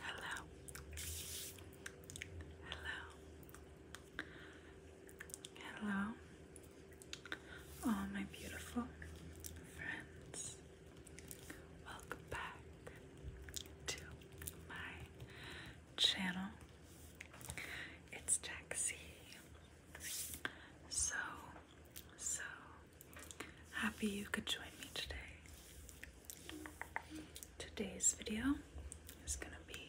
Hello. Hello. Hello. All my beautiful friends. Welcome back to my channel. It's Jaxie. So so happy you could join me today. Today's video is going to be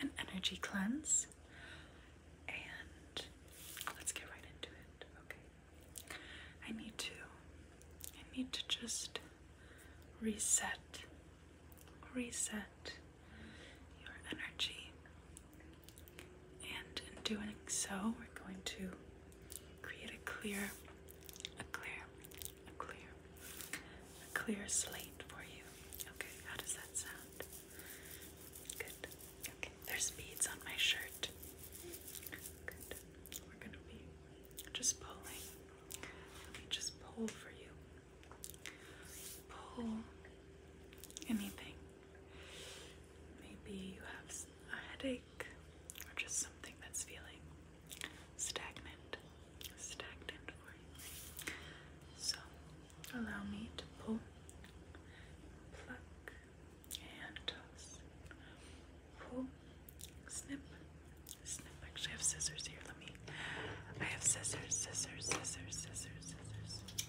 an energy cleanse, and let's get right into it, okay? I need to, I need to just reset, reset, at your energy. And in doing so, we're going to create a clear, a clear, a clear, a clear slate for you. Okay, how does that sound? Good. Okay, there's beads on my shirt. Good. We're gonna be just pulling. Let me just pull for you. Pull anything Maybe you have a headache or just something that's feeling stagnant, stagnant So allow me to pull, pluck, and toss. Pull, snip, snip. Actually, I have scissors here. Let me. I have scissors, scissors, scissors, scissors, scissors.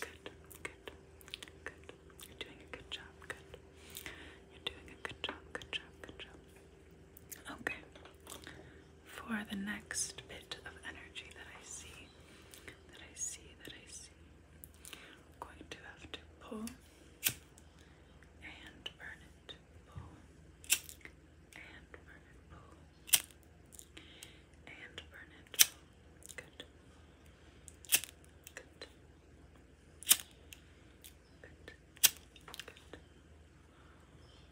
Good, good, good. You're doing a good job, good. You're doing a good job, good job, good job. Okay. For the next bit of energy that I see, that I see, that I see, going to have to pull and burn it. Pull and burn it. Pull and burn it.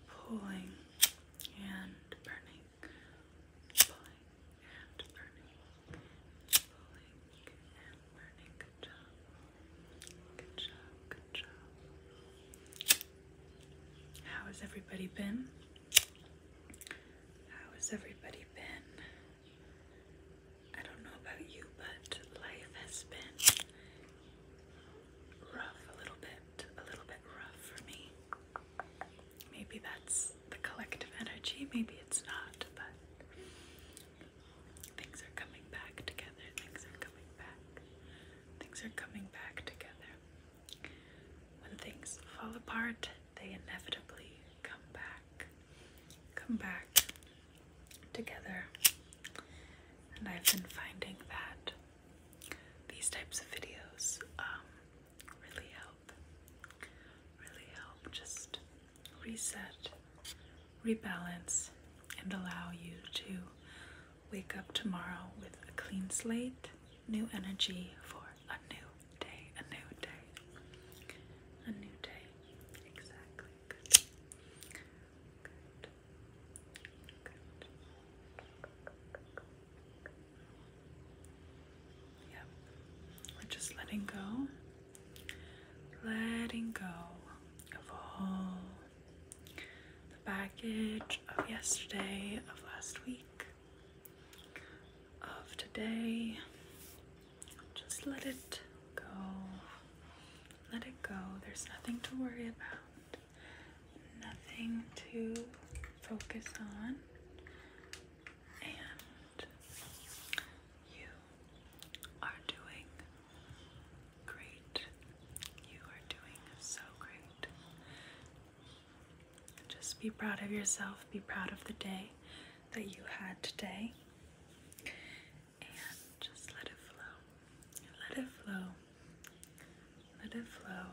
Pulling and burning. Pulling and burning. Pulling and burning. Good job. Good job. Good job. How has everybody been? How has everybody been? I don't know about you, but life has been rough a little bit, a little bit rough for me. Maybe that's the collective energy, maybe it's not, but things are coming back together, things are coming back, things are coming back together. When things fall apart, they inevitably come back, come back together. And I've been finding that these types of videos um, really help, really help just reset, rebalance, and allow you to wake up tomorrow with a clean slate new energy for a new day, a new day, a new day. Exactly. Yep. We're just letting go. Letting go of all the baggage of yesterday, of last week, of today. Just let it go. Let it go. There's nothing to worry about, nothing to focus on. And you are doing great. You are doing so great. Just be proud of yourself, be proud of the day that you had today, and just let it flow. Let it flow. Let it flow.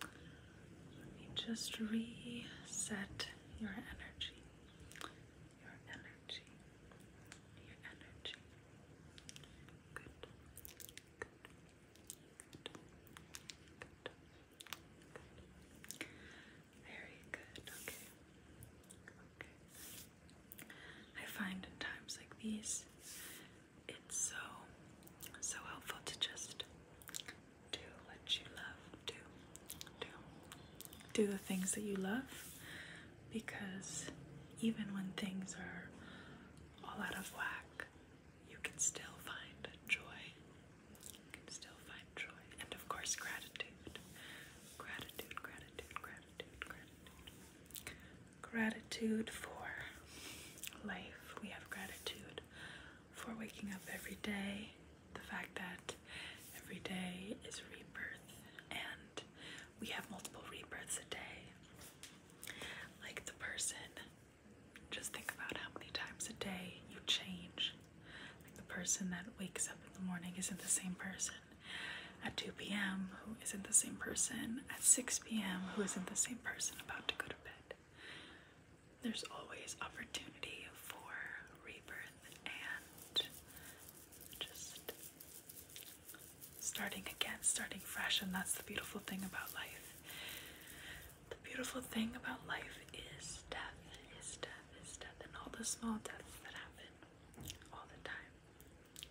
Let me just reset your energy. Your energy. Your energy. Good. Good. Good. Good. Very good. Okay. Okay. I find in times like these, it's so so helpful to just do what you love. Do do do the things that you love because even when things are all out of whack, you can still find joy can still find joy. And of course, gratitude. Gratitude, gratitude, gratitude, gratitude. Gratitude for life. We have gratitude for waking up every day. The fact that every day is rebirth, and we have multiple rebirths a day. Like the person just think about how many times a day you change. Like the person that wakes up in the morning isn't the same person at 2 p.m., who isn't the same person at 6 p.m., who isn't the same person about to go to bed. There's always opportunity for rebirth and just starting again, starting fresh, and that's the beautiful thing about life the beautiful thing about life is death, is death, is death, and all the small deaths that happen all the time.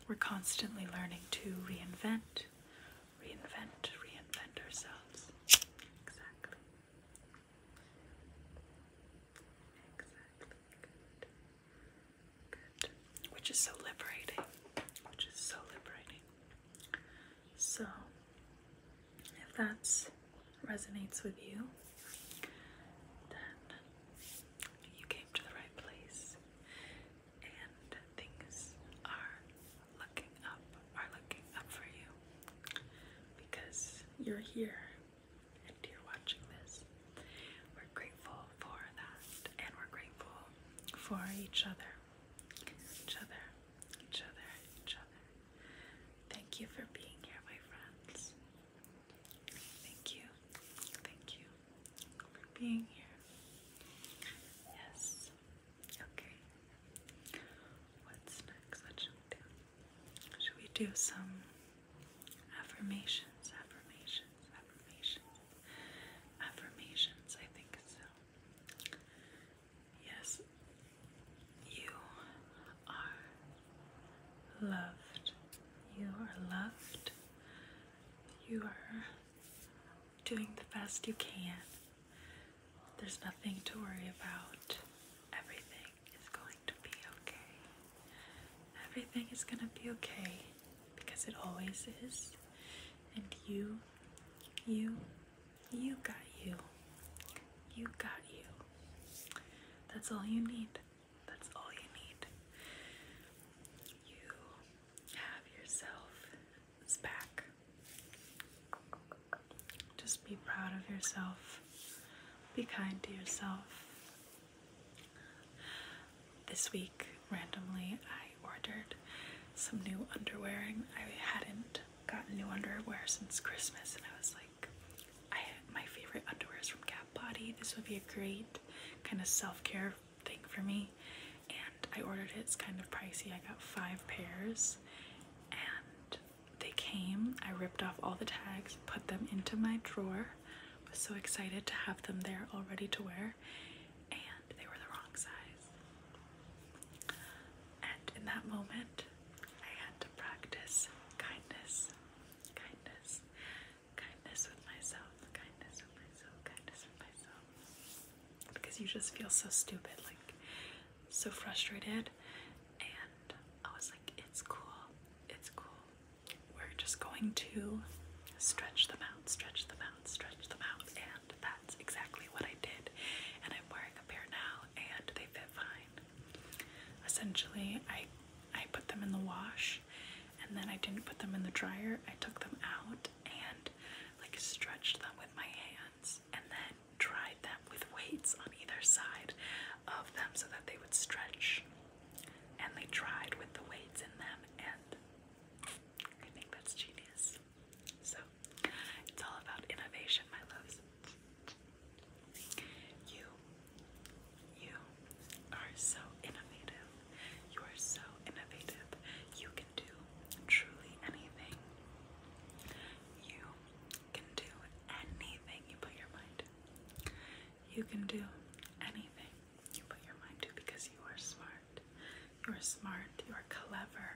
We're constantly learning to reinvent, reinvent, reinvent ourselves. Exactly. Exactly. Good. Which is so liberating. Which is so liberating. So, if that resonates with you, then you came to the right place and things are looking up, are looking up for you because you're here and you're watching this. We're grateful for that and we're grateful for each other, each other, each other, each other. Thank you for being here, my friends. Thank you. Thank you for being here. Yes. Okay. What's next? What should we do? Should we do some affirmations? Affirmations, affirmations, affirmations. I think so. Yes, you are loved. You are loved. You are doing the best you can. There's nothing to worry about. Everything is going to be okay. Everything is going to be okay because it always is. And you, you, you got you. You got you. That's all you need. That's all you need. You have yourself back. Just be proud of yourself. Be kind to yourself. This week, randomly, I ordered some new underwear. I hadn't gotten new underwear since Christmas, and I was like, I had my favorite underwear is from Gap Body. This would be a great kind of self-care thing for me. And I ordered it. It's kind of pricey. I got five pairs, and they came. I ripped off all the tags, put them into my drawer. was so excited to have them there all ready to wear, and they were the wrong size. And in that moment, I had to practice kindness, kindness, kindness with myself, kindness with myself, kindness with myself. Because you just feel so stupid, like so frustrated. And I was like, it's cool, it's cool. We're just going to stretch them out, stretch them out, stretch them out. And that's exactly what I did. And I'm wearing a pair now, and they fit fine. Essentially, I I put them in the wash and then I didn't put them in the dryer. I took them out and like stretched them with my hands and then dried them with weights on either side of them so that they would stretch. And they dried with the weights in them and I think that's genius. So, it's all about innovation, my loves. You, you are so innovative. You are so innovative. You can do truly anything. You can do anything you put your mind to. You can do anything you put your mind to because you are smart. You are smart, you are clever,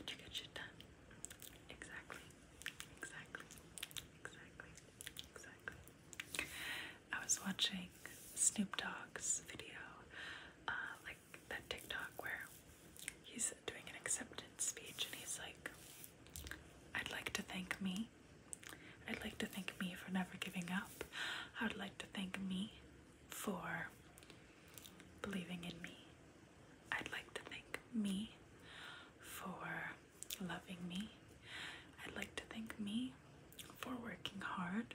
and you get shit done. Exactly. Exactly. Exactly. Exactly. I was watching Snoop Dogg's video, uh, like that TikTok where he's doing an acceptance speech and he's like, I'd like to thank me. I'd like to thank me for never giving up. I would like to thank me for believing in me. I'd like to thank me for loving me. I'd like to thank me for working hard.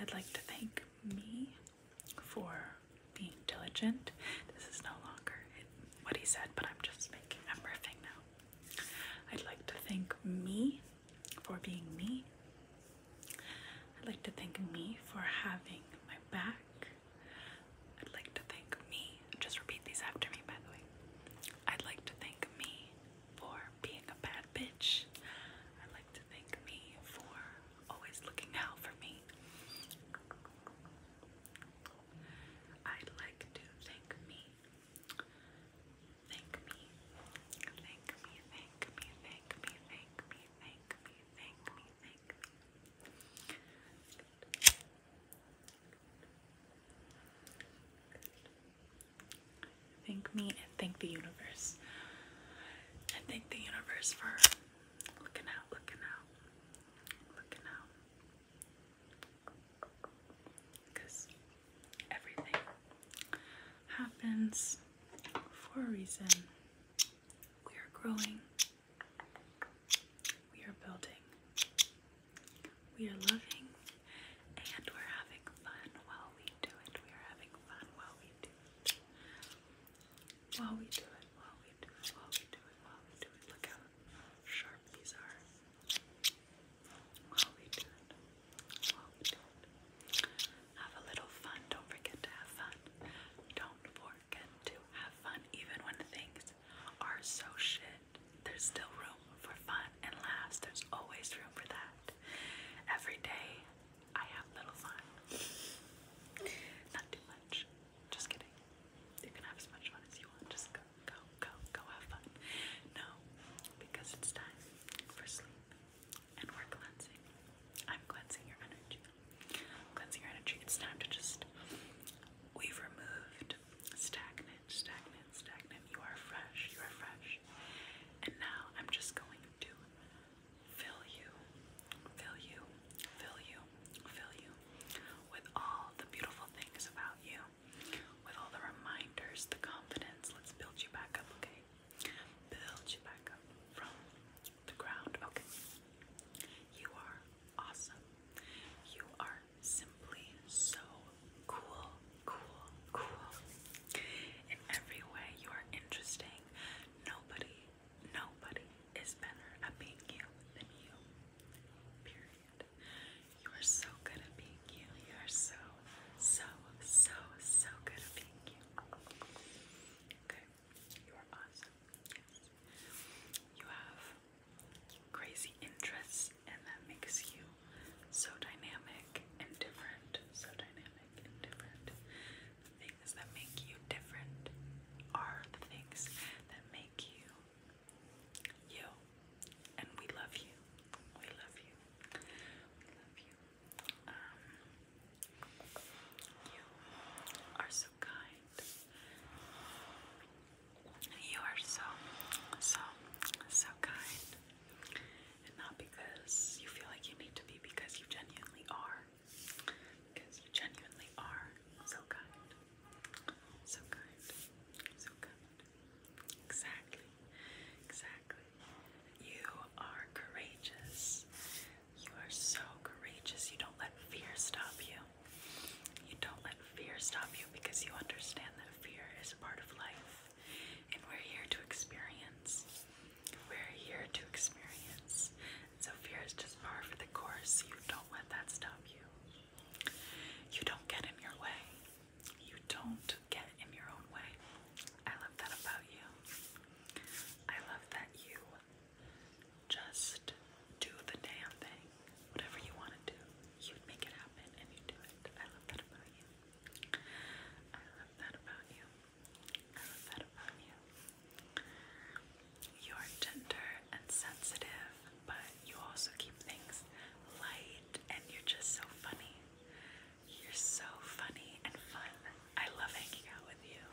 I'd like to thank me for being diligent. This is no longer what he said, but I'm just making, a riffing now. I'd like to thank me for being me. I'd like to thank me for having my back. I'd like to thank me. Just repeat these after me, by the way. I'd like to thank me for being a bad bitch. I'd like to thank me for always looking out for me. I'd like to thank me. Thank me. Thank me, thank me, thank me, thank me, thank me, thank me, Thank me and thank the universe. And thank the universe for looking out, looking out, looking out. Because everything happens for a reason. We are growing. We are building, we are loving, and we're having fun while we do it. We are having fun while we do it. While we do it, while we do it, while we do it, while we do it. Look how sharp these are. While we do it, while we do it. Have a little fun. Don't forget to have fun. Don't for can to have fun even when things are so shit. There's still room for fun and laughs. There's always room for that. Every day I have little fun. Not too much. Just kidding. You can have as much fun as you want. Just go, go, go, go have fun. No, because it's time for sleep. And we're cleansing. I'm cleansing your energy cleansing your energy. It's time to just, we've removed stagnant, stagnant, stagnant. You are fresh, you are fresh. And now I'm just going to fill you, fill you, fill you, fill you with all the beautiful things about you, with all the reminders, the confidence. Let's build you back up, okay? Build you back up from the ground. Okay. You are awesome. You are simply so cool, cool, cool. In every way, you are interesting. Nobody, nobody is better at being you than you. Period. You are so good at being you. You are so, so, so, so good at being you. Okay. You are awesome. You have crazy interests, and that makes you so dynamic and different. So dynamic and different. things that make you different are the things that make you you. And we love you. We love you. We love you. Um, you are so kind. You are so, so, so kind. And not because you feel like you need to be, because you genuinely are. Because you genuinely are so kind. So kind. So kind. Exactly. Exactly. You are courageous. You are so courageous. You don't let fear stop you. You don't let fear stop you because you understand that fear is part of life. And we're here to experience. We're here to experience. So fear is just par for the course. You don't let that stop you. You don't get in your way. You don't get in your own way. I love that about you. I love that you just do the damn thing. Whatever you want to do, you make it happen and you do it. I love that about you. I love that about you. I love that about you. You're tender and sensitive, but you also keep things light and you're just so funny. You're so funny and fun. I love hanging out with you.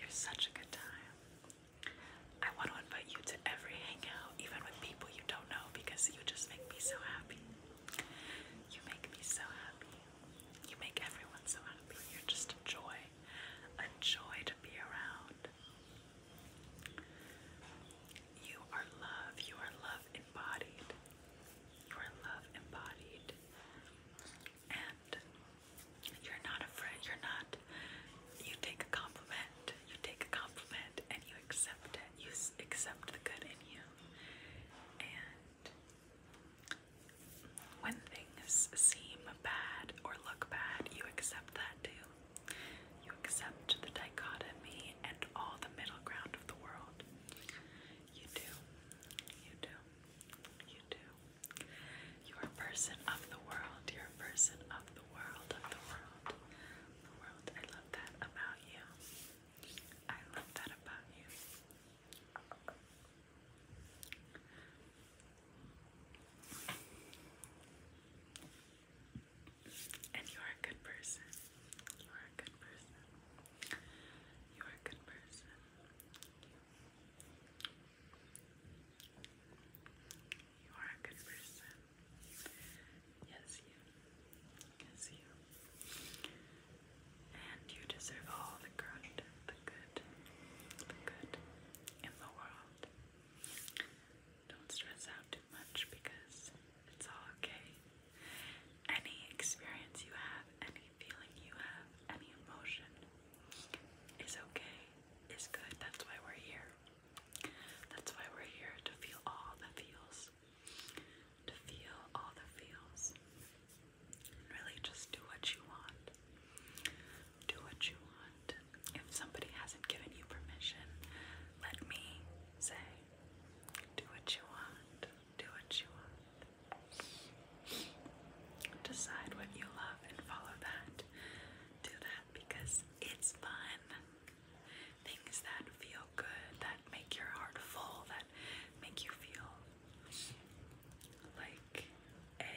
You're such a good time. I want to invite you to every hangout, even with people you don't know, because you just make me so happy. You make me so happy. You make everyone so happy. You're just a joy, a joy to be around. You are love. You are love embodied. You are love embodied and you're not afraid you're not you take a compliment you take a compliment and you accept it you accept the good in you and when things seem bad or look bad you accept that too you accept the dichotomy and all the middle ground of the world you do you do you do you're a person of the world. You're a person of the world, of the world, the world. I love that about you. I love that about you. And you are a good person. You are a good person. You are a good person. You are a good person. Yes, you. Yes, you. And you deserve all the good, the good, the good in the world. Don't stress out too much because it's all okay. Any experience you have, any feeling you have, any emotion is okay is good. That's why we're here. That's why we're here to feel all the feels. To feel all the feels. really just do what you want. Do what you want. If somebody hasn't given you permission, let me say, do what you want. Do what you want. Decide what you love and follow that. Do that because it's fun. Things that feel good, that make your heart full, that make you feel like a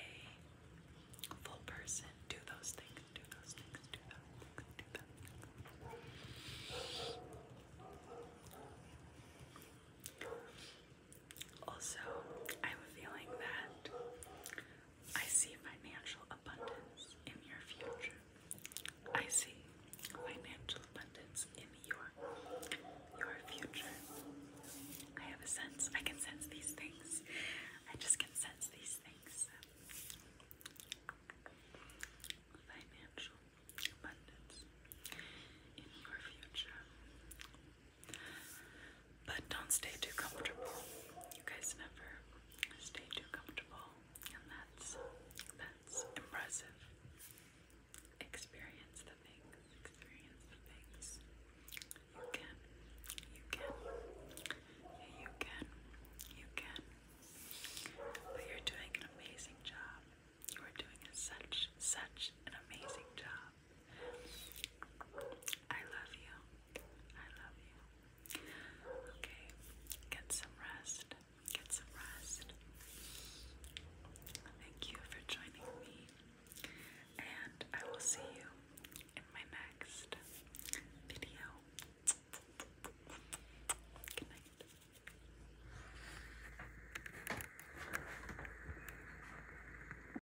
full person. Do those things, do those things, do those things, do those things. Also, I have a feeling that I see financial abundance in your future. I see financial abundance in your your future. I have a sense. I can sense these things. I just can sense these things. Financial abundance in your future. But don't stay too comfortable. You guys never stay too comfortable, and that's that's impressive. Experience the things. Experience the things. You can. You can. You can. You can. But you're doing an amazing job. You are doing such such an amazing job. I love you. I love you. Okay, get some rest. Get some rest. Thank you for joining me, and I will see you in my next video. Good night.